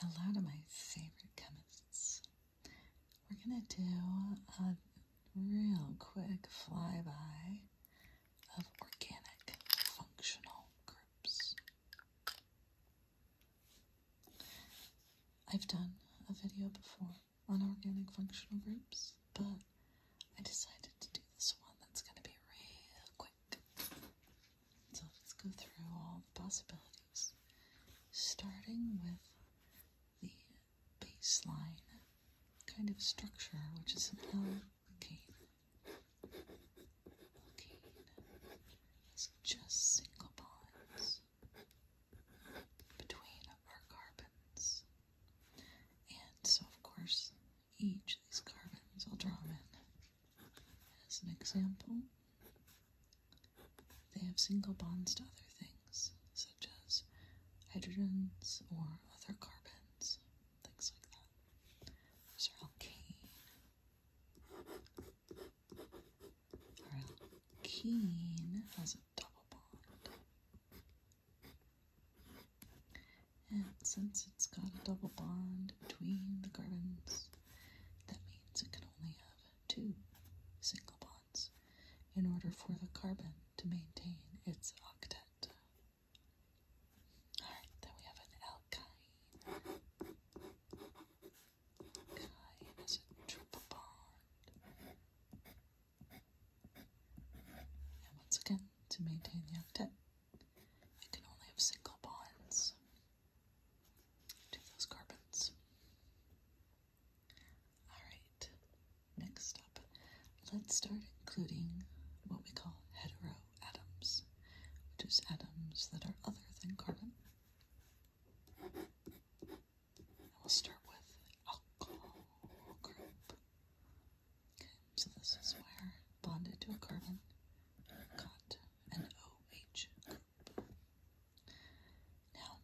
a lot my favorite chemists. We're going to do a real quick flyby of organic functional groups. I've done a video before on organic functional groups, but I decided to do this one that's going to be real quick. So let's go through all the possibilities, starting with the baseline kind of structure, which is an alkane. Alkane has just single bonds between our carbons. And so, of course, each of these carbons i will draw them in as an example, they have single bonds to other things, such as hydrogens or other carbons, things like that. Those are alkane. Our alkene has a double bond. And since it's got a double bond between the carbons, that means it can only have two single bonds in order for the carbon to maintain its octet. Alright, then we have an alkyne. Kyne is a triple bond. And once again, to maintain the octet, it can only have single bonds to those carbons. Alright, next up, let's start including what we call heteroatoms, which is atoms that are other than carbon. And we'll start with alcohol group. Okay, so this is where bonded to a carbon ERCOT, an OH Now,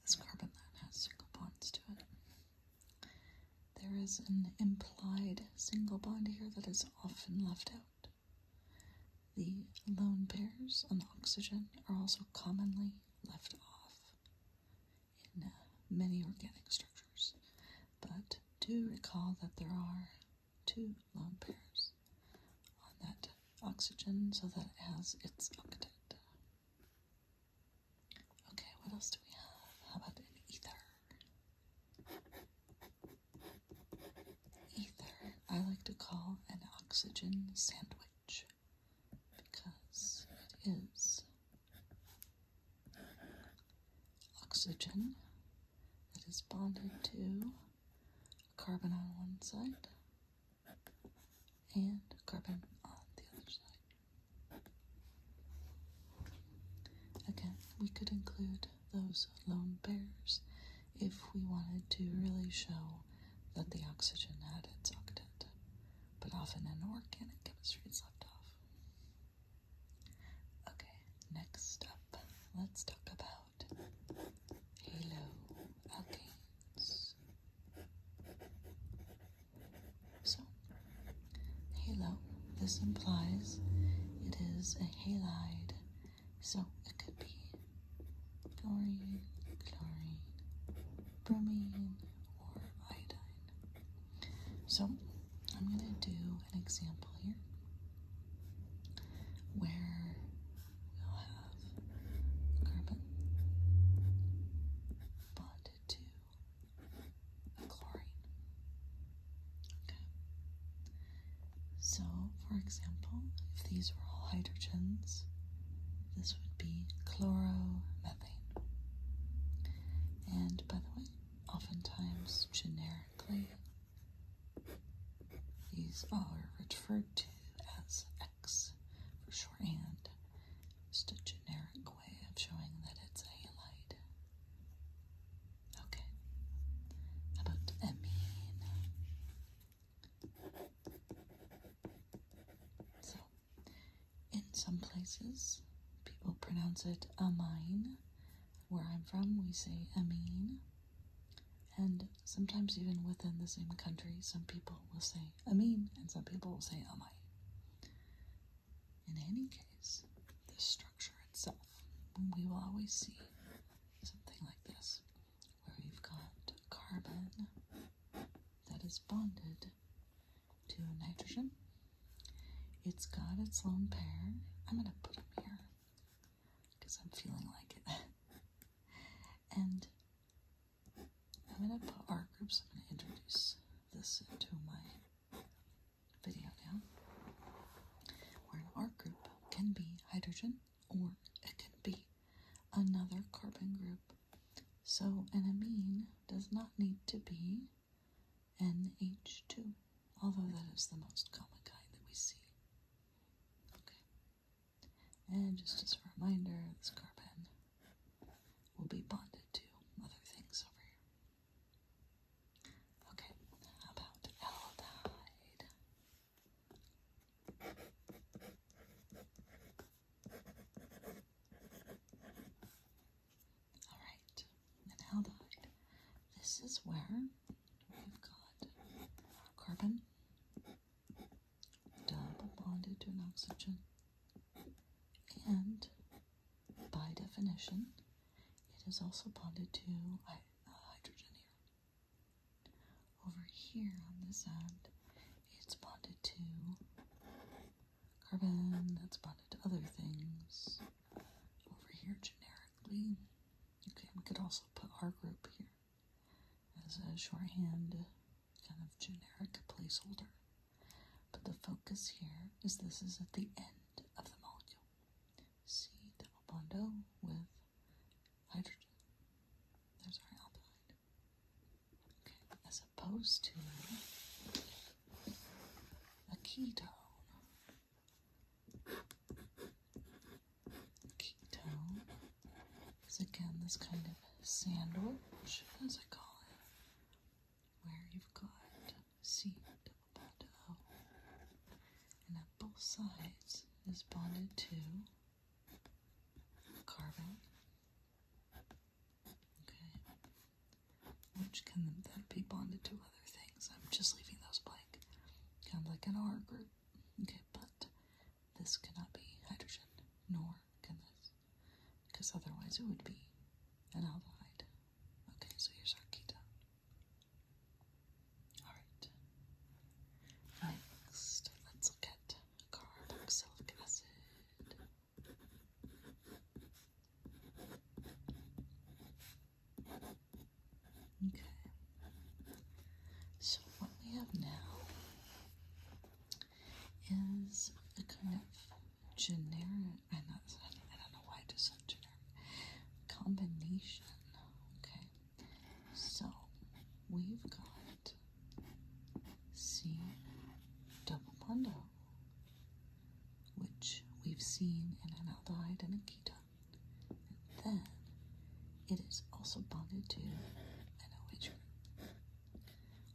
this carbon that has single bonds to it. There is an implied single bond here that is often left out. The lone pairs on the oxygen are also commonly left off in uh, many organic structures, but do recall that there are two long pairs on that oxygen so that it has its octet. Okay, what else do we have? How about an ether? Ether, I like to call an oxygen sandwich because it is oxygen that is bonded to carbon on one side and carbon on the other side. Again, we could include those lone pairs if we wanted to really show that the oxygen had its octet, but often in organic chemistry it's left off. Okay, next up, let's talk about halo So, halo, this implies it is a halide, so it could be chlorine, chlorine, bromine, or iodine. So, I'm going to do an example here where we'll have carbon bonded to chlorine. Okay. So, for example, if these were all hydrogens, this would be chloromethane. And by the way, oftentimes generically these are referred to as X for shorthand. Just a generic way of showing that it's halide. Okay. about amine? So, in some places, people pronounce it amine where I'm from, we say Amin. And sometimes, even within the same country, some people will say Amin and some people will say Amai. In any case, the structure itself, we will always see something like this, where we have got carbon that is bonded to nitrogen. It's got its lone pair. I'm going to put them here because I'm feeling like it. and I'm gonna put our groups. I'm gonna introduce this into my video now. Where an art group can be hydrogen or it can be another carbon group. So an amine does not need to be NH2 although that is the most common kind that we see. Okay. And just as a reminder, this carbon will be bonded to other things over here. Okay, about aldehyde? All right, and aldehyde. This is where we've got carbon double bonded to an oxygen, and by definition, it is also bonded to uh, hydrogen here. Over here on this end, it's bonded to carbon, that's bonded to other things. Over here, generically, Okay, we could also put our group here as a shorthand kind of generic placeholder. But the focus here is this is at the end of the molecule. C double bond O with hydrogen. There's our aldehyde. Okay, as opposed to a ketone, Keto is again this kind of sandwich, as I call it, where you've got C double bond O, and at both sides is bonded to carbon. Okay, which can then be bonded to other things. I'm just leaving those blank kind of like an R group. Okay, but this cannot be hydrogen, nor can this, because otherwise it would be an aldehyde. Okay, so here's our keto. Alright. Next, let's look at carboxylic acid. Okay. So what we have now is a kind of generic I don't know why I just said generic combination. Okay. So we've got C double bundle, which we've seen in an aldehyde and a ketone. And then it is also bonded to an OH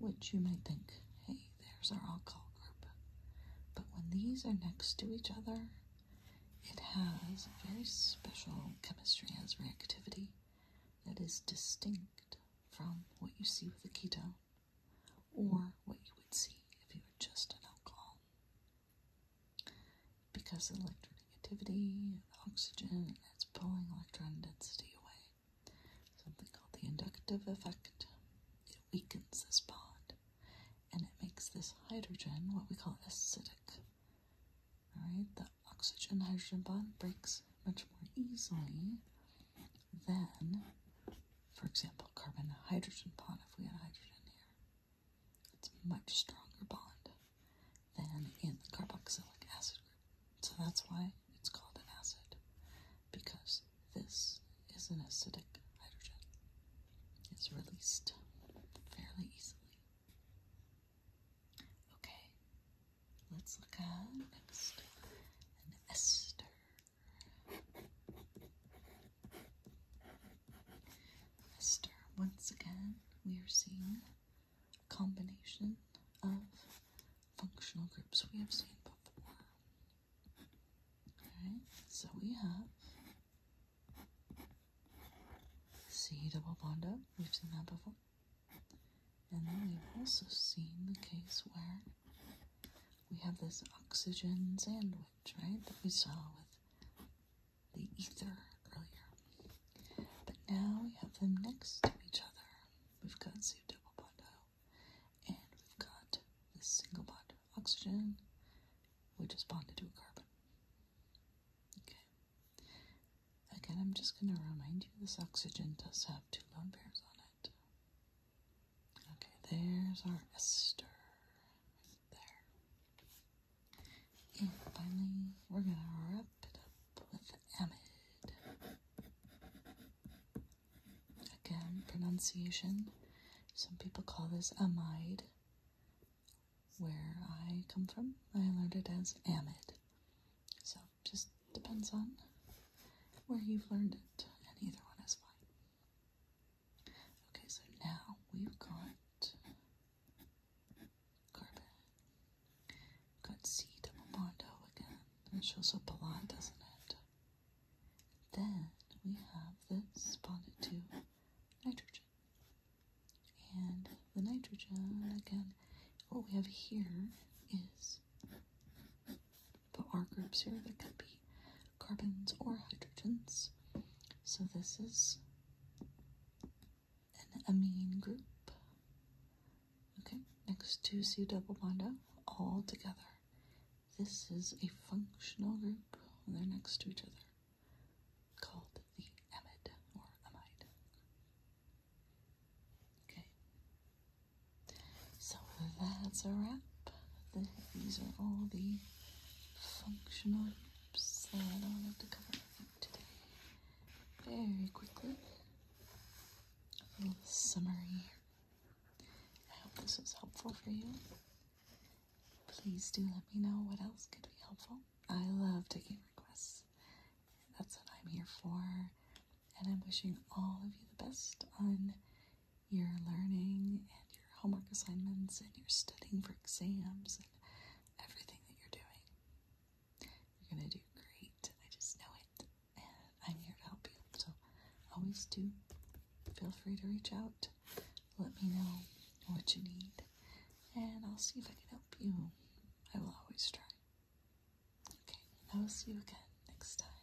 which you might think, hey, there's our alcohol group. But when these are next to each other, it has very special chemistry as reactivity that is distinct from what you see with a keto, or what you would see if you were just an alcohol because of electronegativity, oxygen, it's pulling electron density away. Something called the inductive effect. It weakens this bond and it makes this hydrogen what we call acidic. Alright, the oxygen hydrogen bond breaks much more easily than, for example, carbon hydrogen bond if we had hydrogen here. It's a much stronger bond than in the carboxylic acid group. So that's why it's called an acid, because this is an acidic hydrogen. It's released fairly easily. Okay, let's look at next an ester. Mister, once again, we are seeing a combination of functional groups we have seen before. Okay, so we have C double bond up, we've seen that before. And then we've also seen the case where we have this oxygen sandwich, right, that we saw with the ether earlier. But now we have them next to each other. We've got two double bondo, and we've got this single bond of oxygen, which is bonded to a carbon. Okay. Again, I'm just going to remind you this oxygen does have two lone pairs on it. Okay, there's our ester. And finally, we're going to wrap it up with amide. Again, pronunciation. Some people call this amide. Where I come from, I learned it as amide. So, just depends on where you've learned it, and either one is fine. Okay, so now we've got Carbon. got C to Mondo again. That shows up a lot, doesn't it? Then we have this bonded to nitrogen. And the nitrogen again, what we have here is the R groups here that could be carbons or hydrogens. So this is an amine group. Okay, next to C double bond O, all together. This is a functional group. They're next to each other, called the amide or amide. Okay, so that's a wrap. These are all the functional oops, I don't have to cover today. Very quickly, a little summary. I hope this was helpful for you. Please do let me know what else could be helpful. I love taking requests. That's what I'm here for. And I'm wishing all of you the best on your learning and your homework assignments and you're studying for exams and everything that you're doing. You're going to do great. I just know it. And I'm here to help you. So always do. Feel free to reach out. Let me know what you need. And I'll see if I can help you. I will always try. Okay, I will see you again next time.